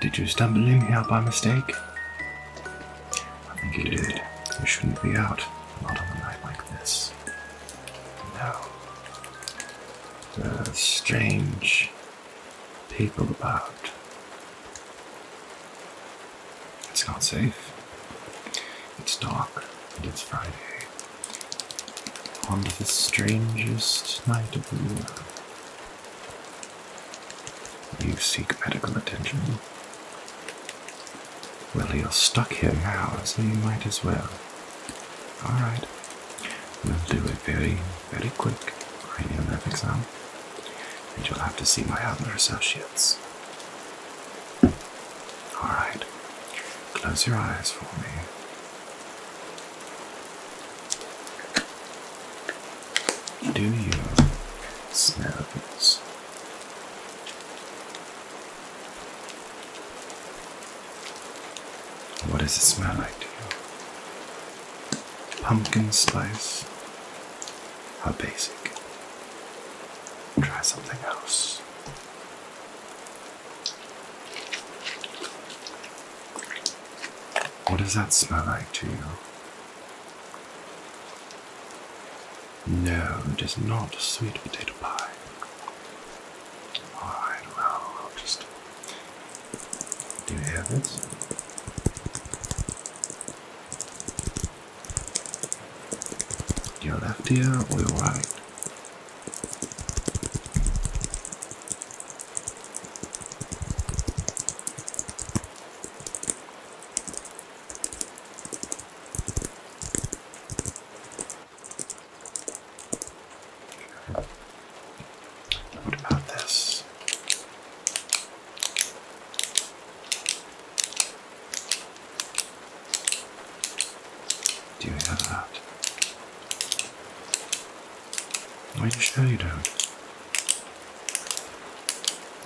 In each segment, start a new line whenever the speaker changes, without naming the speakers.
Did you stumble in here by mistake? I think he did. He shouldn't be out. Not on a night like this. No. The strange people about. It's not safe. It's dark, and it's Friday. On the strangest night of the year. You seek medical attention. Well, you're stuck here now, so you might as well. Alright. We'll do it very, very quick. I exam. And you'll have to see my other associates. Alright. Close your eyes for me. Do you smell what does it smell like to you? Pumpkin spice? How basic. Try something else. What does that smell like to you? No, it is not sweet potato pie. Alright, well, I'll just do you have this. Your left ear or your right? What about this? Do you have that? Why are you sure you don't?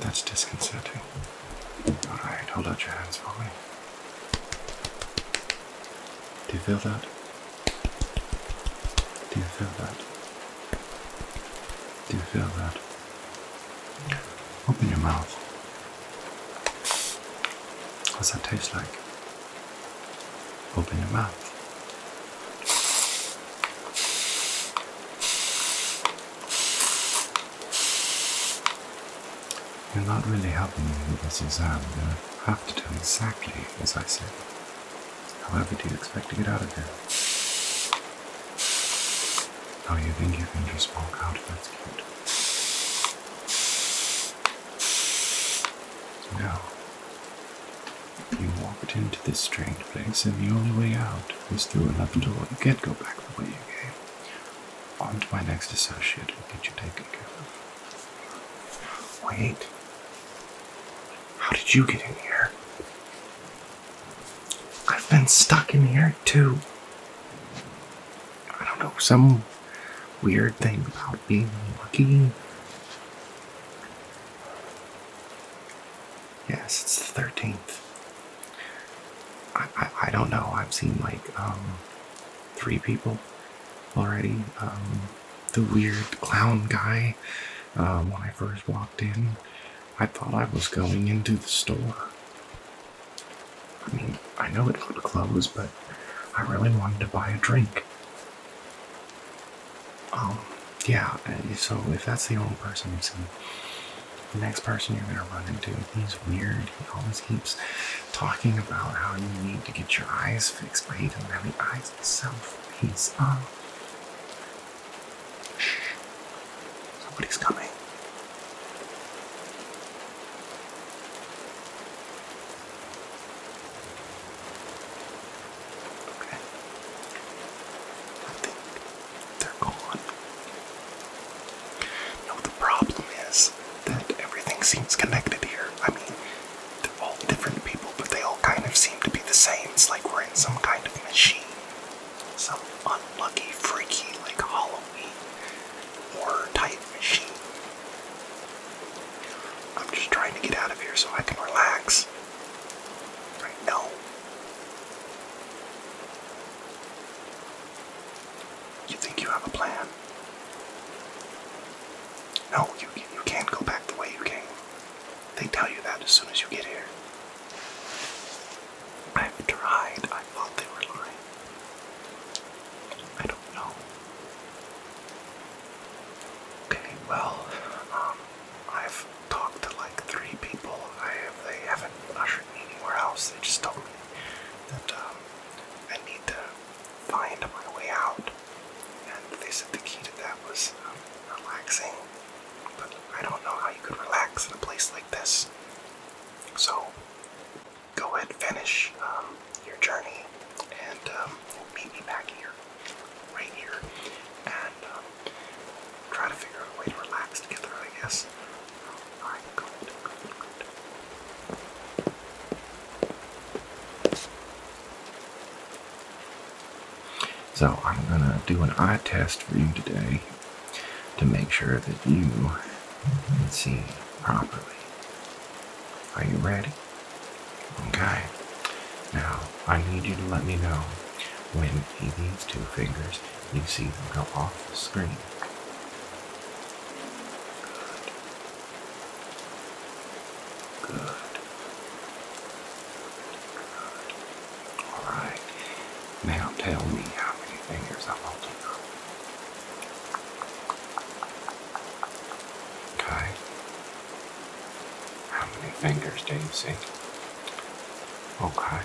That's disconcerting. Alright, hold out your hands for me. Do you feel that? Do you feel that? Do you feel that? Open your mouth. What's that taste like? Open your mouth. You're not really helping me with this exam. You have to do exactly as I say. How However, do you expect to get out of here? Oh, you think you can just walk out? That's cute. No. You walked into this strange place, and the only way out is through another door. You get go back the way you came. On to my next associate who get you taken care of. Wait. How did you get in here? I've been stuck in here too. I don't know, some weird thing about being lucky. Yes, it's the 13th. I, I, don't know. I've seen like um, three people already. Um, the weird clown guy. Um, when I first walked in, I thought I was going into the store. I mean, I know it looked closed, but I really wanted to buy a drink. yeah, so if that's the only person you've the next person you're going to run into. He's weird. He always keeps talking about how you need to get your eyes fixed, but he doesn't have the eyes himself. He's, uh. Shh. Somebody's coming. Okay. I think they're gone. Now the problem is that everything seems connected here. I mean, they're all different people, but they all kind of seem to be the same. It's like we're in some kind of machine. Some unlucky, freaky, like Halloween horror type machine. I'm just trying to get out of here so I can relax. Right now. You think you have a plan? No, you, you can't go back the way you came. They tell you that as soon as you get here. I've tried. I thought they were lying. I don't know. Okay, well, um, I've talked to like three people. they haven't ushered me anywhere else. They just told me that um, I need to find my way out. And they said the key to that was um, relaxing. But I don't know how you could relax in a place like this. So go ahead, finish um, your journey, and um, meet me back here, right here, and try to figure out a way to relax together, I guess. So I'm gonna do an eye test for you today to make sure that you can see properly. Are you ready? Okay. Now I need you to let me know when he needs two fingers you see them go off the screen. Good. Good. Good. All right. Now tell me how many fingers I'm holding up. Okay. How many fingers do you see? Okay.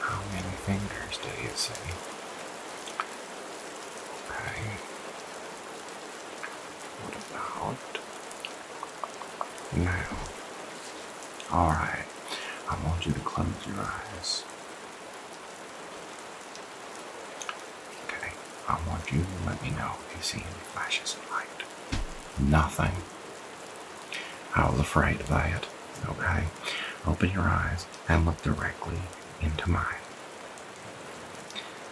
How many fingers do you see? Okay. What about now? Alright. I want you to close your eyes. Okay. I want you to let me know if you see any flashes of light. Nothing. I was afraid of that. Okay? Open your eyes and look directly into mine.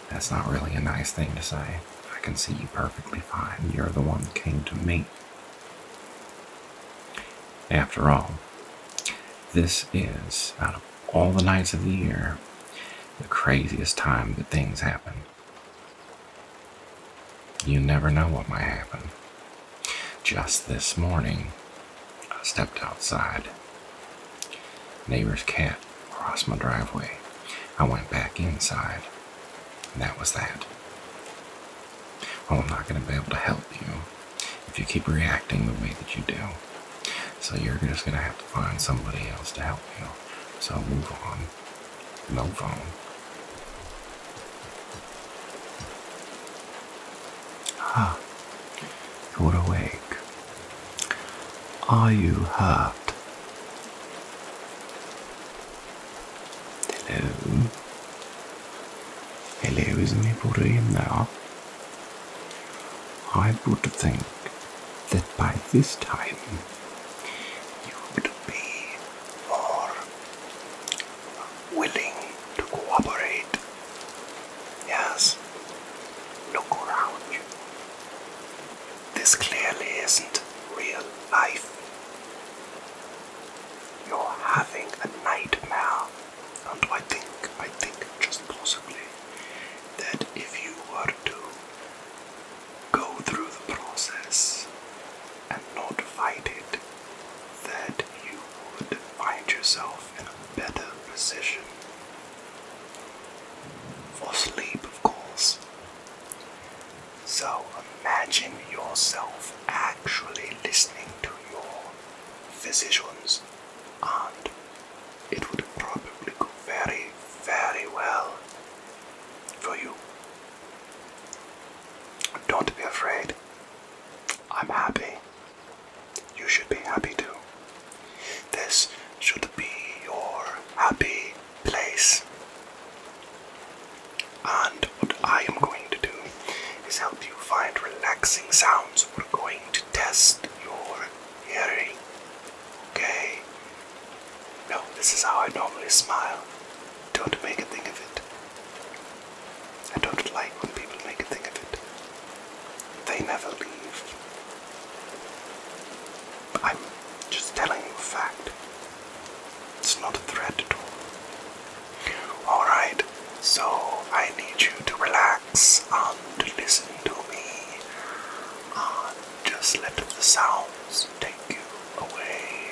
That's not really a nice thing to say. I can see you perfectly fine. You're the one that came to me. After all, this is, out of all the nights of the year, the craziest time that things happen. You never know what might happen. Just this morning, I stepped outside. Neighbor's cat crossed my driveway. I went back inside. And that was that. Well, I'm not going to be able to help you if you keep reacting the way that you do. So you're just going to have to find somebody else to help you. So move on. Move on. Ah, you're awake. Are you hurt? Hello. Hello, is me put in there? I would think that by this time you would be willing to cooperate. Yes, look around This clearly isn't real life. You're having a nightmare, and I think, I think just possibly that if you were to go through the process and not fight it, that you would find yourself in a better position. For sleep, of course. So imagine yourself actually listening to your physicians, and it would probably go very, very well for you. Don't be afraid. I'm happy. You should be happy too. This should be your happy place. And what I am going to do is help you find relaxing sounds. We're going to test your hearing. Okay? No, this is how I normally smile. Don't make a thing of it. I don't like when people make a thing of it. They never leave. I'm just telling you a fact. It's not a threat at all. Alright, so I need you to relax and listen to me. And just let the sounds take you away.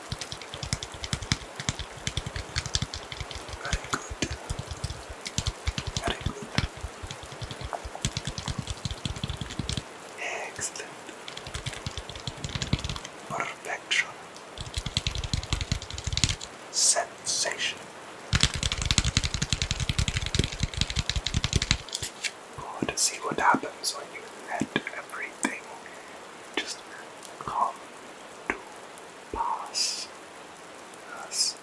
Very good. Excellent. Perfection. Sensation. Good. See what happens when you let everything just calm to pass us.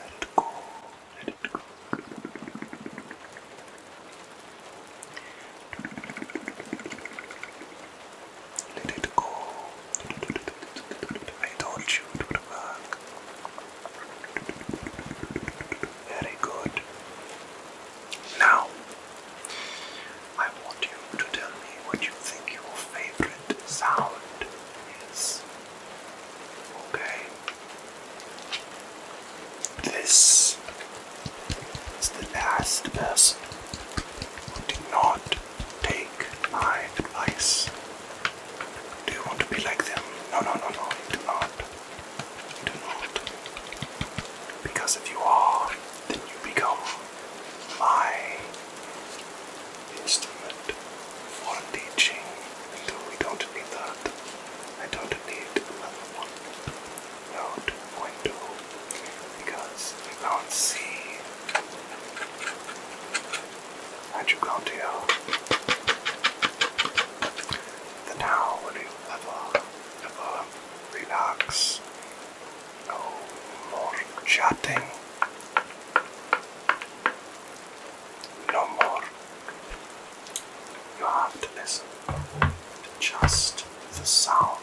Let it go, let it go. Let it go. I told you it would work. Very good. Now, I want you to tell me what you think your favorite sound is. Okay? This is the last person who did not take my advice. Do you want to be like them? No, no, no, no, you do not. You do not. Because if you are, then you become my instrument for teaching. So we don't need that. I don't need another one. Not because you can't see. And you can't hear. Then how will you ever, relax? Oh, more chatting. No more. You have to listen to just the sounds.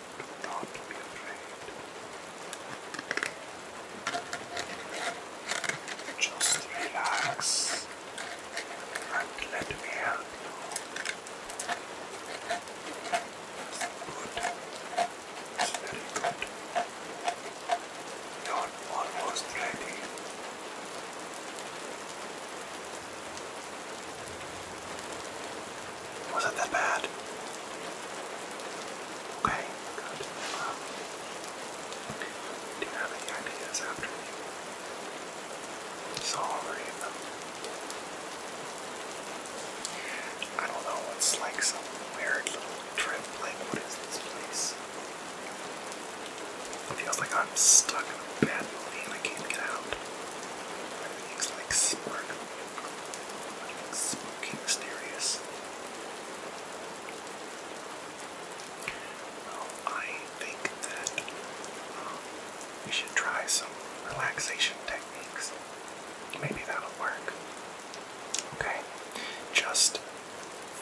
Do not be afraid. Just relax and let me help you. Good. It's You're almost ready. Was it that bad? Okay, good. Um, do you have any ideas after you saw I don't know, it's like some weird little trip, like what is this place? feels like I'm stuck in a bad movie and I can't get out. Everything's like smirking. Smoking Asterius. Well, I think that um, we should try some relaxation techniques. Maybe that'll work. Okay, just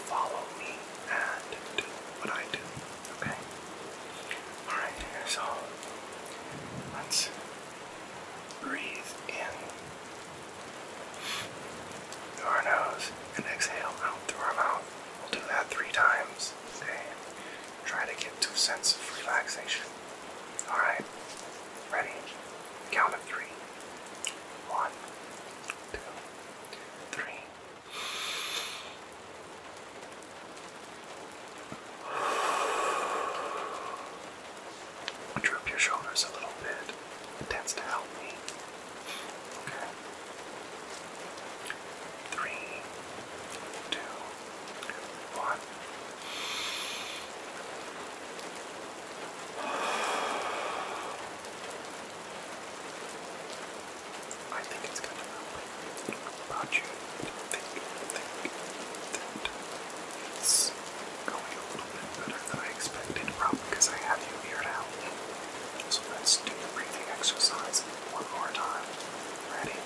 follow me and do what I do. Okay. All right. So let's breathe in through our nose and exhale out through our mouth. We'll do that three times Okay. Try to get two sense of relaxation. Alright, ready? Count of three. One, two, three. Drop your shoulders a little bit, It tends to help me. Okay. Three, two, one. I think it's going to help. About you, think. It's going a little bit better than I expected, probably because I have you here now. So let's do the breathing exercise one more time. Ready?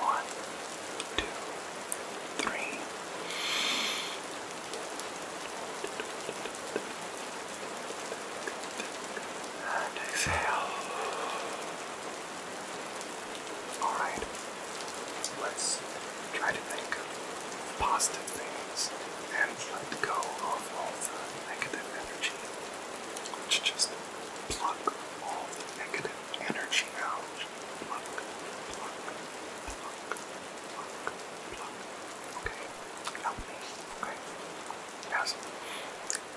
One, two, three. And exhale. All right. Let's try to think of positive things and let go of all the negative energy. let just pluck all the negative energy out. Pluck, pluck, pluck, pluck, pluck. Okay, help me. Okay. Yes.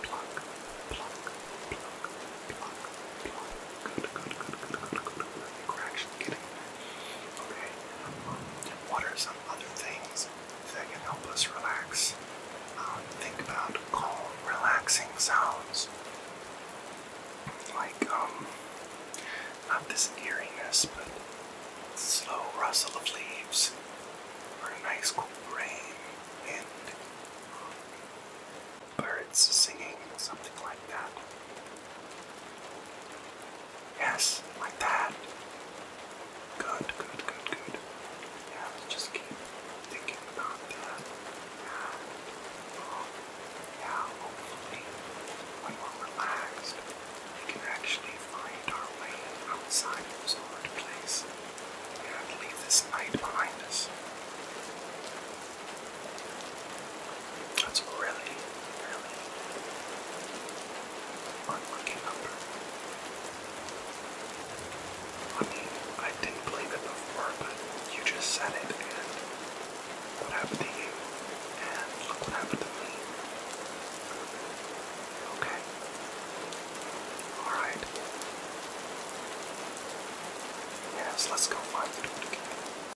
Pluck, pluck, pluck, pluck, pluck. Good, good, good, good, good, good, good. we're actually getting Okay. What are some other things that can help us relax? Um, think about calm, relaxing sounds. Like, um, not this eeriness, but slow rustle of leaves, or a nice cool rain, and um, birds singing, something like that. Yes, like that. Good, good, good, good. Yeah, just keep thinking about that. Oh, hopefully, we're actually find our way outside this hard place and leave this night behind us. That's really, really fun number. I mean, I didn't believe it before, but you just said it, and what happened to you, and look what happened to me. Okay. Alright. Yes, let's go find the door again.